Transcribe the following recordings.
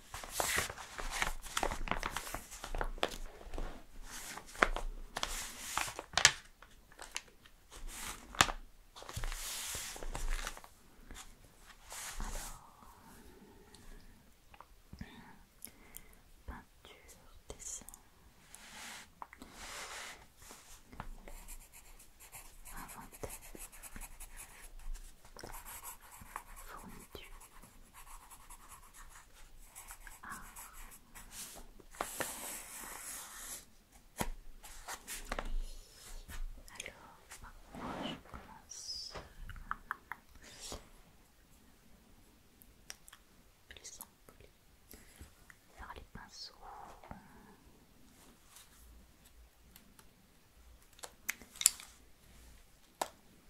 peinture, dessin. Inventaire, fourniture, alors, moi je commence par les pinceaux.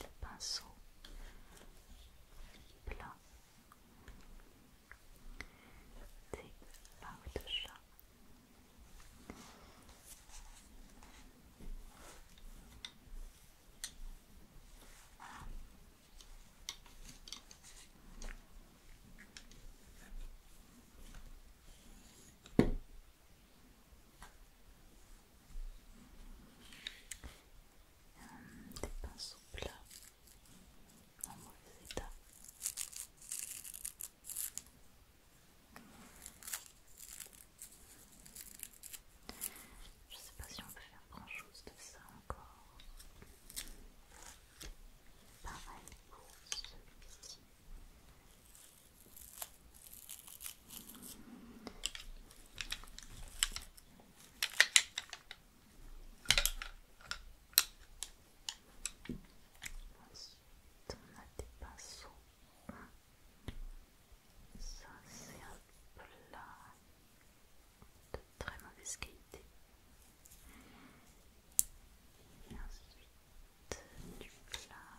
le pinceau plat des larves de chat. Voilà. Euh, des pinceaux plats en mauvais état. Je sais pas si on peut faire grand chose de ça encore. Pareil pour celui-ci. Ensuite, on a des pinceaux. Ça, c'est un plat de très mauvaise qualité. Et ensuite, du plat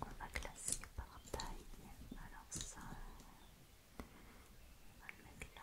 on va classer par taille, alors ça, on va le mettre là.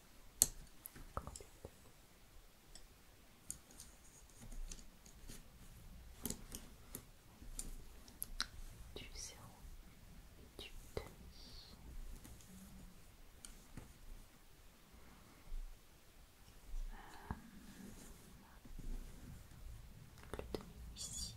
du zéro et du demi. le demi ici.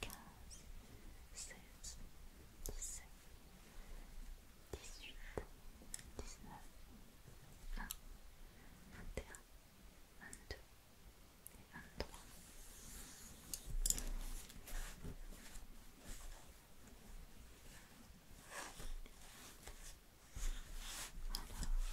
quinze, seize, dix-sept, dix-huit, dix-neuf, vingt, un, deux et vingt-trois.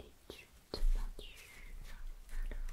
L'étude de peinture. Alors.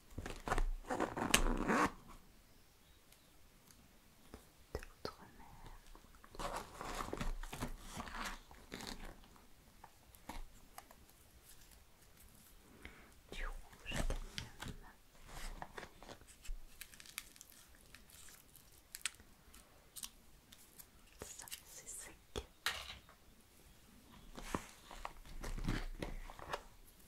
d'outre-mer. Du rouge même Ça, c'est sec.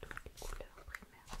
toutes les couleurs primaires.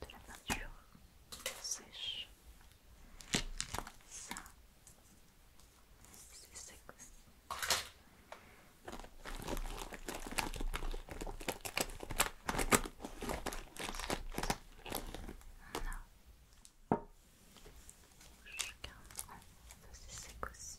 de la peinture sèche. Ça, c'est sec. On a rouge 41, ça c'est sec aussi.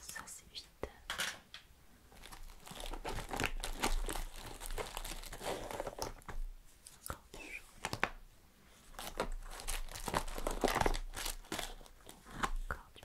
Ça c'est vite. Encore du Encore du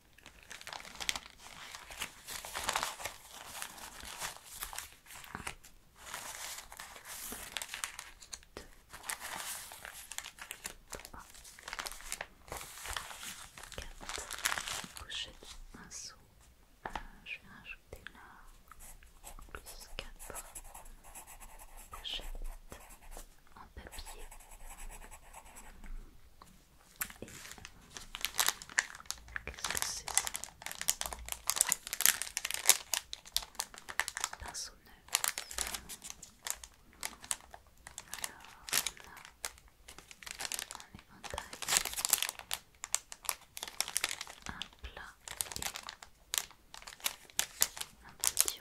4 pochettes, un seau. je vais rajouter là plus 4 pochettes en papier. Et... Qu'est-ce que c'est ça a un éventail, un plat un petit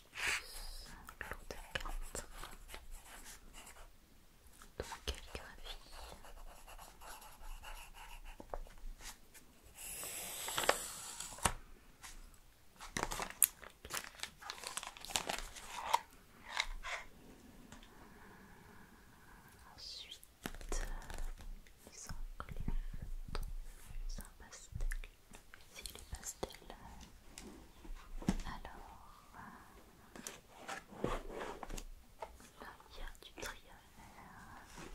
un lot de cartes. Donc calligraphie. Ensuite, ils incluent un pastel si les pastels. Alors, euh, là il y a du triangle. Euh,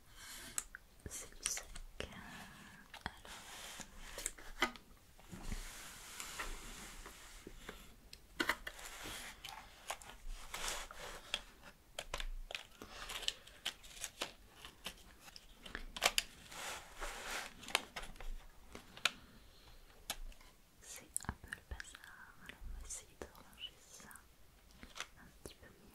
C'est le Alors. C'est un peu le bazar, alors on va essayer de ranger ça un petit peu mieux.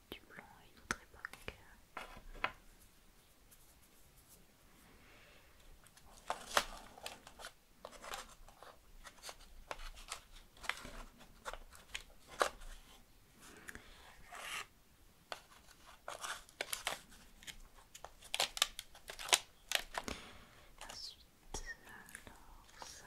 du blanc et une autre époque. Ensuite, alors ça.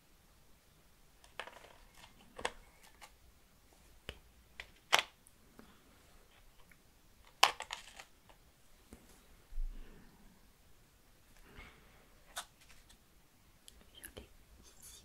Violet ici. le Vert pomme ici.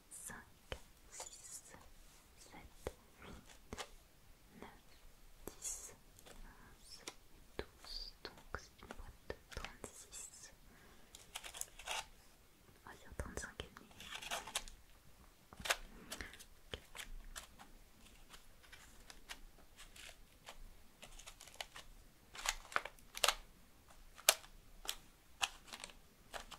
5, 6, 7, 8, 9, 10, 11, 12. Donc c'est une boîte de 36. On va dire 35 et demi. Okay. Voilà.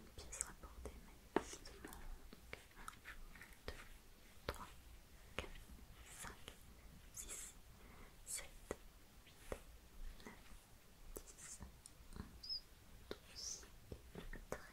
une pièce rapportée manifestement. 1, 2, 3, 4, 5, 6, 7, 8, 9, 10, 11, 12 et 13.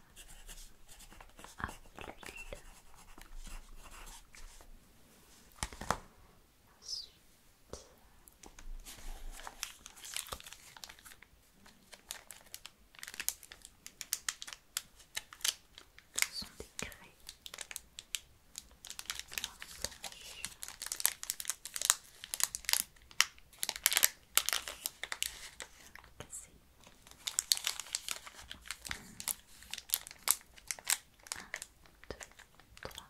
Ensuite, sont des craies. c'est deux, trois, Blanc.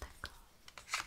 D'accord. quatre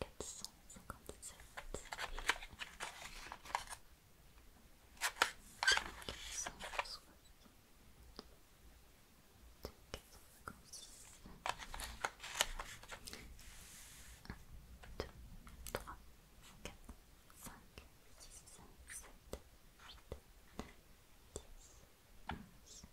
Quatre cent cinquante sept, quatre cent soixante, quatre 19, 20, cinq, six, 23, 24,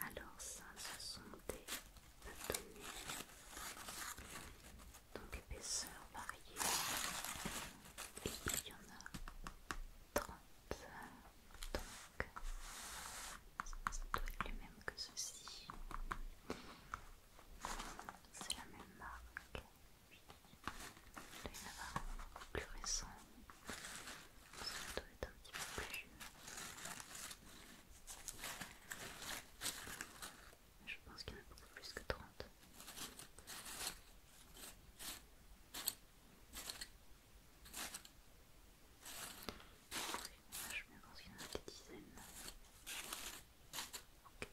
Alors ça, ce sont des bâtonnets, donc épaisseur variée. Et il y en a 30. Donc, ça doit être le même que ceci. C'est la même marque. Il doit y en plus récent. Ça doit être un petit peu plus Je pense qu'il y en a beaucoup plus que 30 je pense qu'il y en a des dizaines. Okay.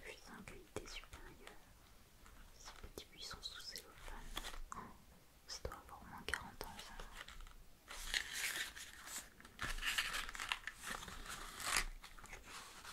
Fusabilité supérieure. Ces petits buissons sous cellophane. Oh, ça doit avoir au moins 40 ans ça.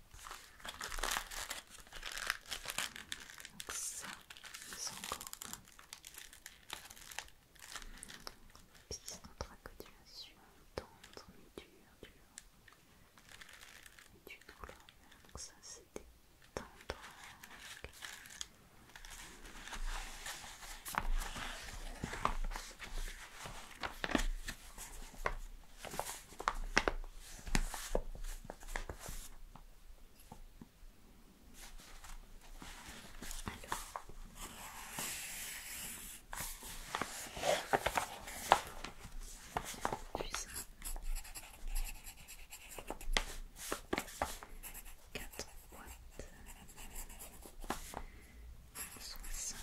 Donc ça, c'est encore un. Petite contracodulation, tendre, mais dure, dur. Et du douleur. Donc ça, c'est des tendres. 4 boîtes soixante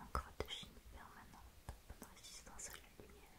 Encore de chine permanente, bonne résistance à la lumière,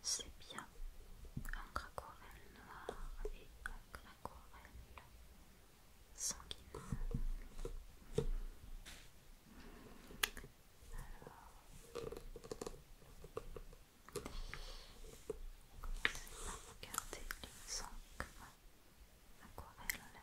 C'est bien un craquel noir et un craquel sans quitter. Alors, on va regarder les 100 cm d'aquarelle.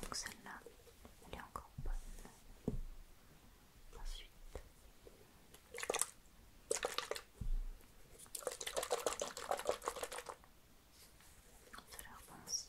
Donc celle-là, elle est encore bonne. Ensuite, ça leur pense.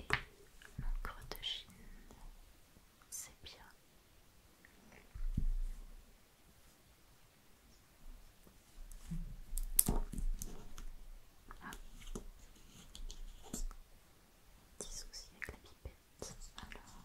et l'encre de Chine, c'est bien. Ah. Petit souci avec la pipette, alors.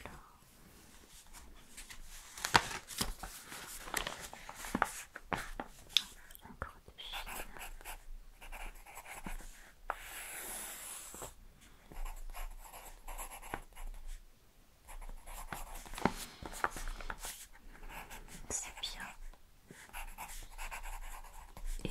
Alors. Encore C'est bien. Et